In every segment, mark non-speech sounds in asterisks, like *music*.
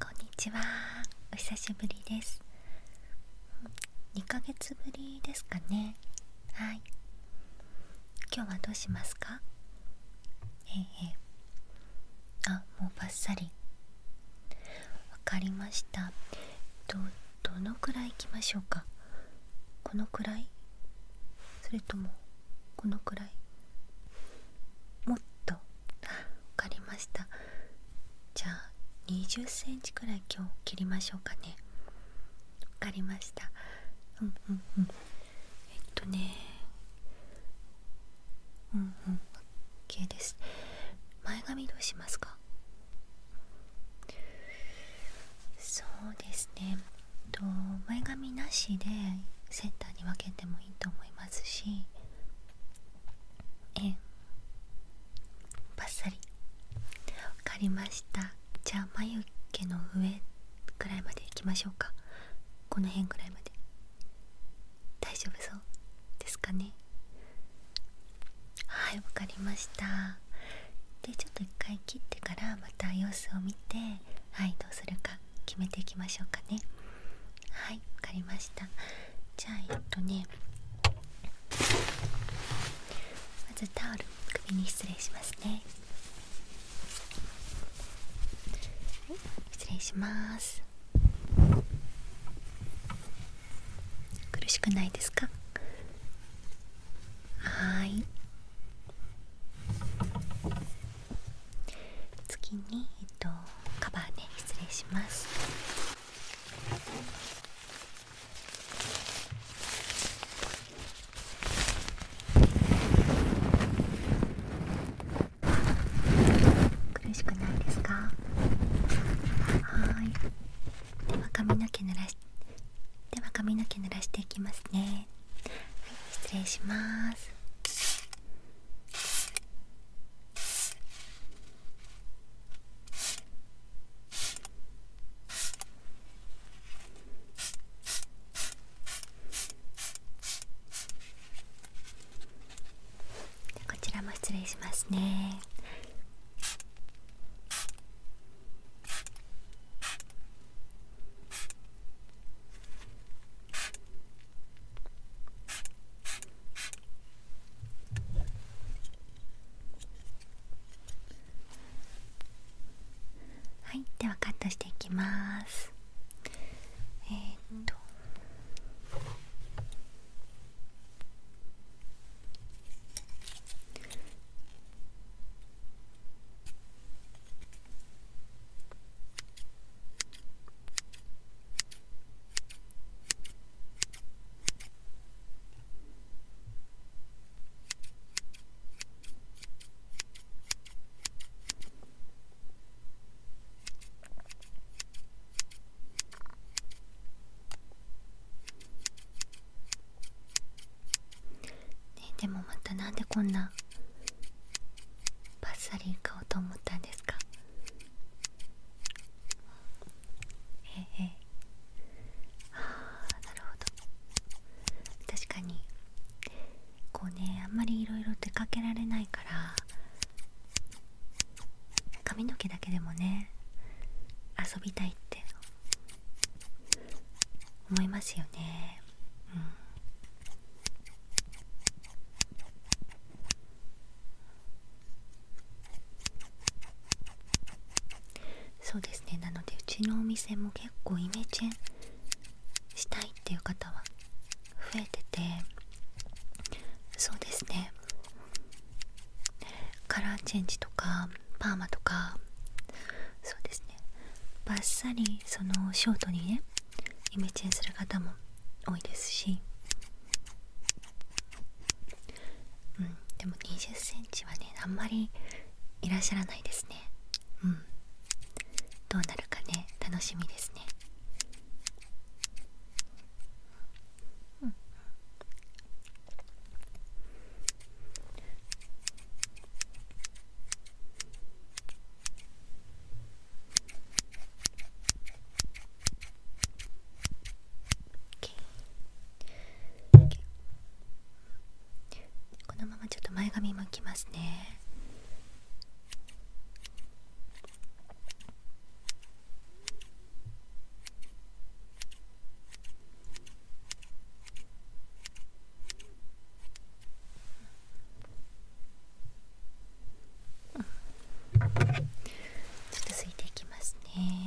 こんにちはお久しぶりです2ヶ月ぶりですかねはい今日はどうしますかええあもうバッサリわかりましたどどのくらいいきましょうかこのくらいそれともこのくらいもっと分かりましたじゃあ2 0ンチくらい今日切りましょうかね分かりましたえっとねうんうん OK です前髪どうしますかそうですねと前髪なしでセンターに分けてもいいと思いますまえバッサリ分かりましたじゃあ眉毛の上くらいまでいきましょうかこの辺くらいまで大丈夫そうですかねはいわかりましたでちょっと一回切ってからまた様子を見てはいどうするか決めていきましょうかねはいわりましたじゃあえっとねまずタオル首に失礼しますね失礼します苦しくないですかはい次に、えっと、カバーね失礼します苦しくないですかはいでは髪の毛濡らしでは髪の毛濡らしていきますねはい失礼しますこちらも失礼しますね。はいではカットしていきますえっとねえ、でもまたなんでこんなパッサリ買おうと思ったんですかええああなるほど確かにこうねあんまりいろいろ出かけられないから髪の毛だけでもね遊びたいって思いますよねうんそうですねなのでうちのお店も結構イメチェンしたいっていう方は増えててそうですねカラーチェンジとかパーマとかそうですねバッサリそのショートにねイメチェンする方も多いですし、うん、でも2 0センチはねあんまりいらっしゃらないですねうんどうなるかね楽しみですねうんこのままちょっと前髪もきますねこうん、ちょっとすいていきますね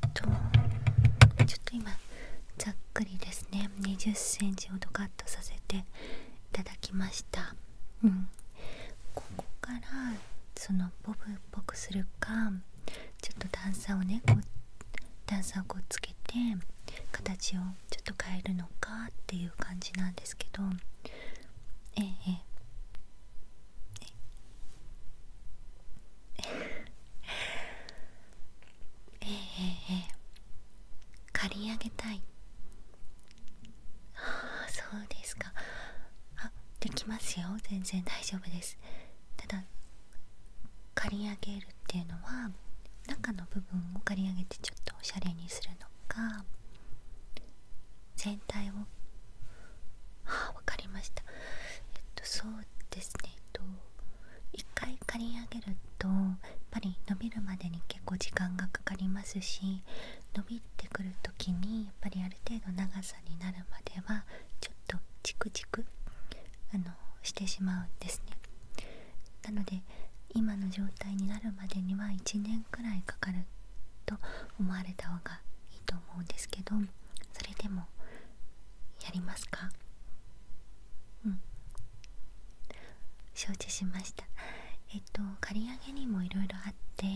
ー、っとちょっと今ざっくりですね2 0ンチほどカットさせていただきましたうんここからそのボブっぽくするかちょっと段差をねこう段差をこうつけて形をちょっと変えるのかっていう感じなんですけどええええええええ刈り上げたいああそうですかあできますよ全然大丈夫ですただ刈り上げるっていうのは中の部分を刈り上げてちょっとおしゃれにするのか全体をああ分かりましたえっとそうですねと1回刈り上げるとやっぱり伸びるまでに結構時間がかかりますし伸びてくる時にやっぱりある程度長さになるまではちょっとチクチクあのしてしまうんですねなので今の状態になるまでには1年くらいかかると思われた方がいいと思うんですけどそれでもやりますかうん承知しましたえっと刈り上げにもいろいろあって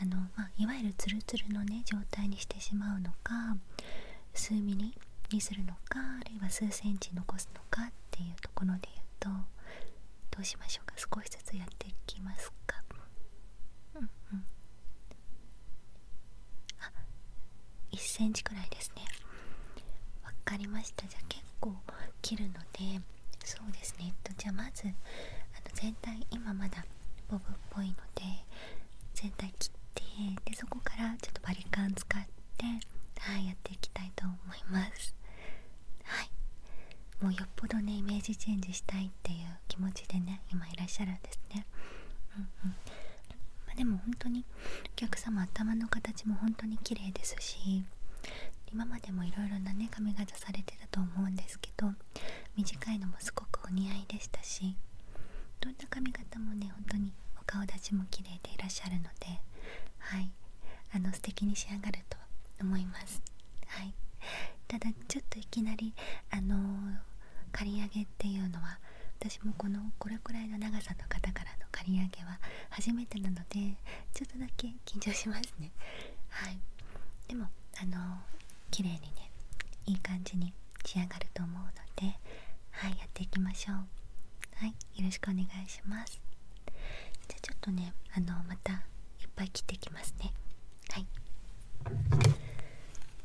あの、まあ、いわゆるツルツルのね状態にしてしまうのか数ミリにするのかあるいは数センチ残すのかっていうところで言うとどうしましょうか少しずつやっていきますかうんうんあ1 c m くらいですねわかりましたじゃあ結構切るのでそうですね、えっと、じゃあまずあの全体今まだボブっぽいので全体切ってでそこからちょっとバリカン使ってはいやっていきたいと思いますはいもうよっぽどねイメージチェンジしたいっていう気持ちでね今いらっしゃるんですねうんうんまでも本当にお客様頭の形も本当に綺麗ですし今までもいろいろなね髪型されてたと思うんですけど短いのもすごくお似合いでしたしどんな髪型もね本当にお顔立ちも綺麗でいらっしゃるのではいあの素敵に仕上がると思いますはいただちょっといきなりあの刈り上げっていうのは私もこのこれくらいの長さの方からの刈り上げは初めてなのでちょっとだけ緊張しますねはいでもあの綺麗にねいい感じに仕上がると思うのではいやっていきましょうはいよろしくお願いしますじゃあちょっとねあのまたいっぱい切っていきますねはい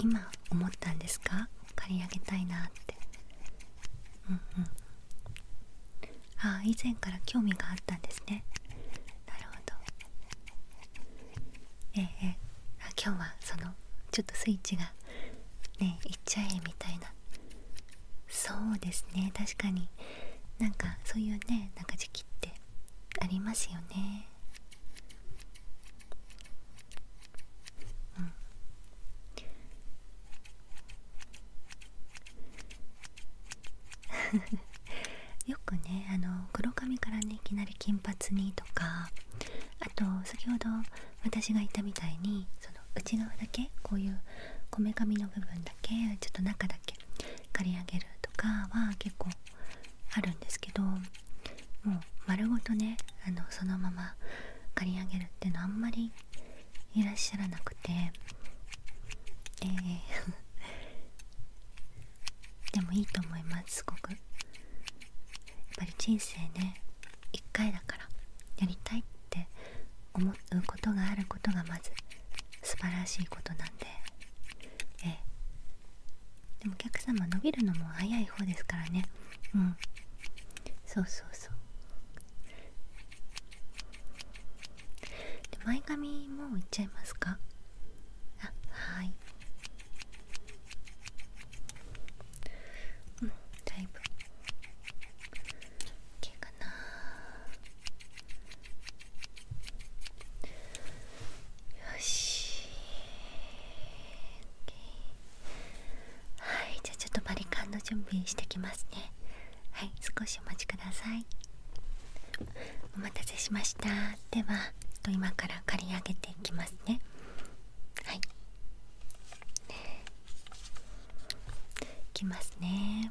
今思ったんですか借り上げたいなってうんあ以前から興味があったんですねなるほどええ今日はそのちょっとスイッチがねいっちゃえみたいなそうですね確かになんかそういうねなんか時期ってありますよねうん *laughs* よくねあの黒髪からねいきなり金髪にとかあと先ほど私が言ったみたいにその内側だけこういうこめかみの部分だけちょっと中だけ刈り上げるとかは結構あるんですけどもう丸ごとねあのそのまま刈り上げるっていうのはあんまりいらっしゃらなくてえ *laughs* でもいいと思いますすごくやっぱり人生ね1回だからやりたいって思うことがあることがまず素晴らしいことなんでえでもお客様伸びるのも早い方ですからねうんそうそうそうで前髪もういっちゃいますかあはいうんだいぶ OK かなよしはいじゃあちょっとバリカンの準備してきますねはい少しお待ちくださいお待たせしましたでは今から刈り上げていきますねはいいきますね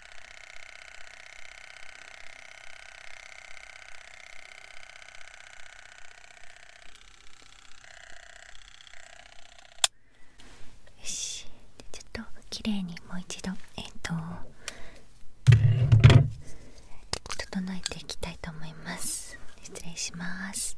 よしちょっと綺麗にもう一度えっ、と整えていきたいと思います失礼します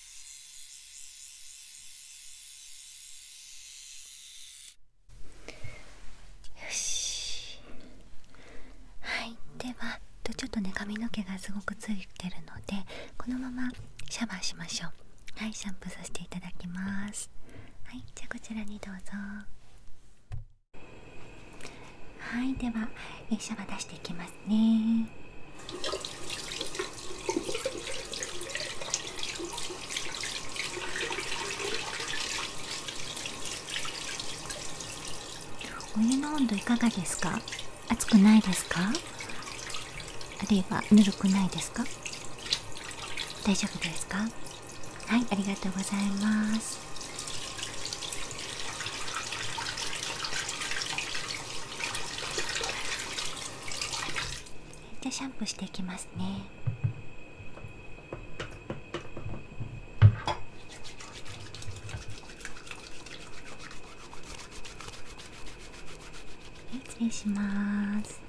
よしはいではちょっとね髪の毛がすごくついてるのでこのままシャワーしましょうはいシャンプーさせていただきますはいじゃあこちらにどうぞはいではシャワー出していきますますお湯の温度いかがですか熱くないですかあるいはぬるくないですか大丈夫ですかはいありがとうございますじゃあシャンプーしていきますねはい失礼します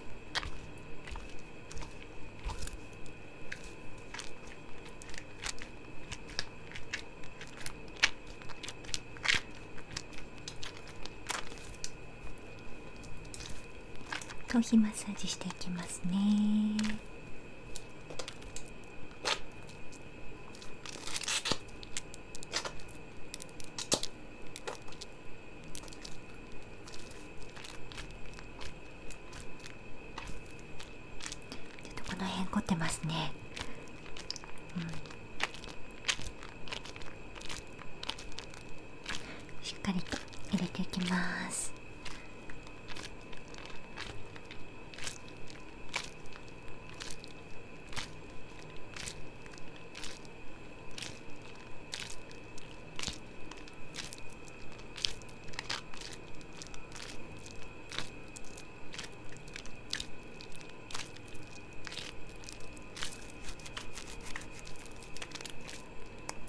頭皮マッサージしていきますねちょっとこの辺凝ってますねうん、しっかりと入れていきます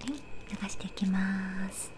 はい流していきます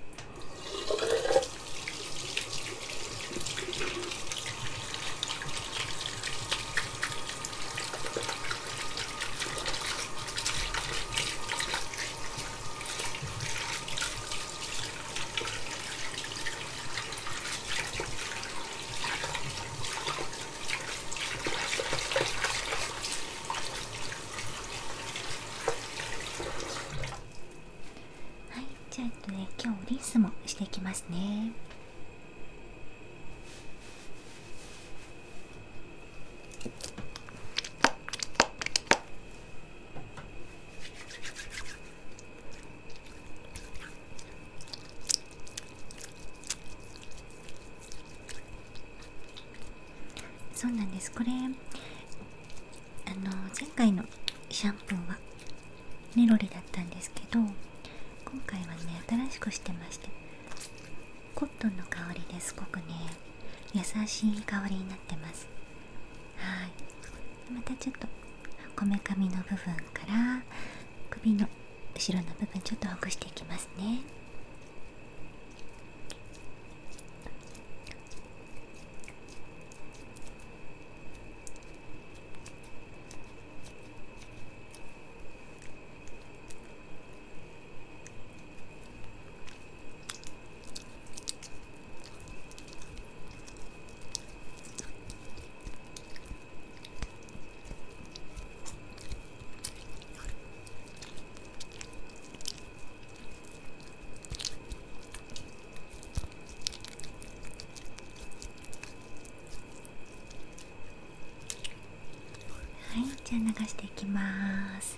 はいじゃあ、えっとね今日リンスもしていきますねそうなんですこれあの前回のシャンプーはネロリだったんですけど今回はね新しくしてましてコットンの香りですごくね優しい香りになってますはいまたちょっとこめかみの部分から首の後ろの部分ちょっとほぐしていきますねはいじゃあ流していきます。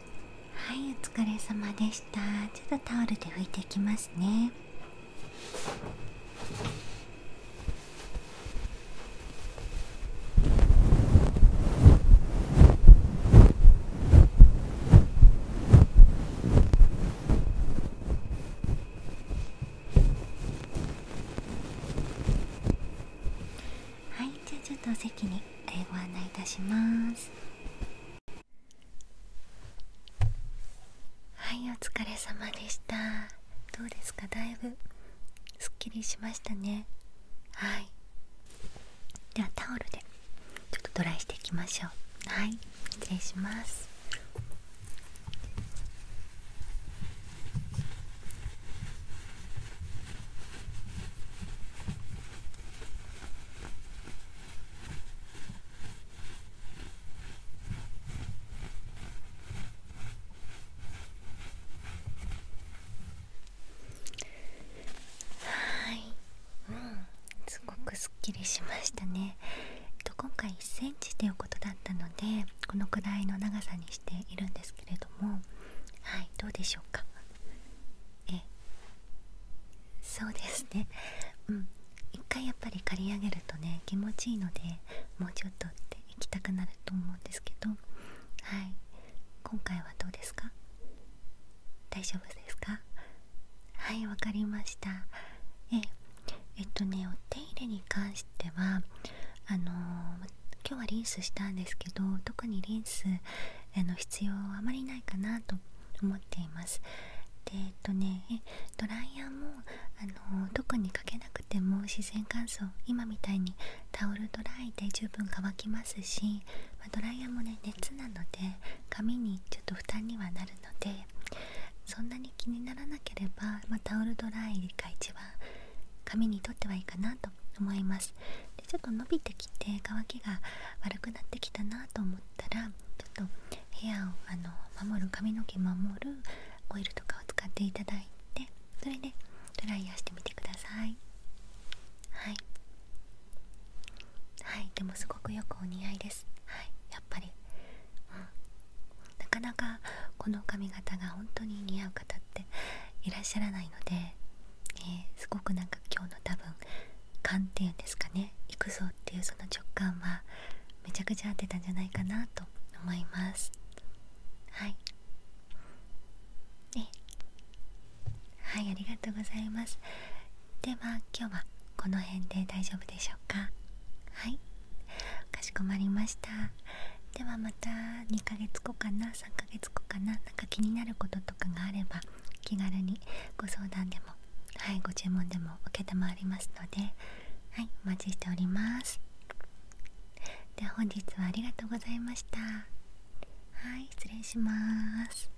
はいお疲れ様でしたちょっとタオルで拭いていきますねはいじゃあちょっとお席にご案内いたしますはいお疲れ様でしたどうですかだいぶすっきりしましたねはいではタオルでちょっとドライしていきましょうはい失礼しますはいうんすごくすっきりしましたね、えっと、今回 1cm ということだったのでこのくらいの長さにしているんですけれどもはいどうでしょうかえそうですねうん一回やっぱり刈り上げるとね気持ちいいのでもうちょっとって行きたくなると思うんですけどはい今回はどうですか大丈夫ですかはいわかりましたええっとねお手入れに関してはあの今日はリンスしたんですけど特にリンスあの必要あまりないかなと思っていますでえっとねドライヤーもあの特にかけなくても自然乾燥今みたいにタオルドライで十分乾きますし、まあ、ドライヤーもね熱なので髪にちょっと負担にはなるのでそんなに気にならなければ、まあ、タオルドライが一番髪にとってはいいかなと思いますちょっと伸びてきて乾きが悪くなってきたなと思ったらちょっと部屋をあの守る髪の毛守るオイルとかを使っていただいてそれでドライヤーしてみてくださいはいはいでもすごくよくお似合いですはいやっぱり、なかなかこの髪型が本当に似合う方っていらっしゃらないのでえすごくなんか今日の多分観点ですかね行くぞっていうその直感はめちゃくちゃ合ってたんじゃないかなと思いますはいはいありがとうございますでは今日はこの辺で大丈夫でしょうかはいかしこまりましたではまた2ヶ月後かな3 1ヶ月後かななんか気になることとかがあれば気軽にご相談でもはいご注文でも承りますのではいお待ちしておりますでは本日はありがとうございましたはい失礼します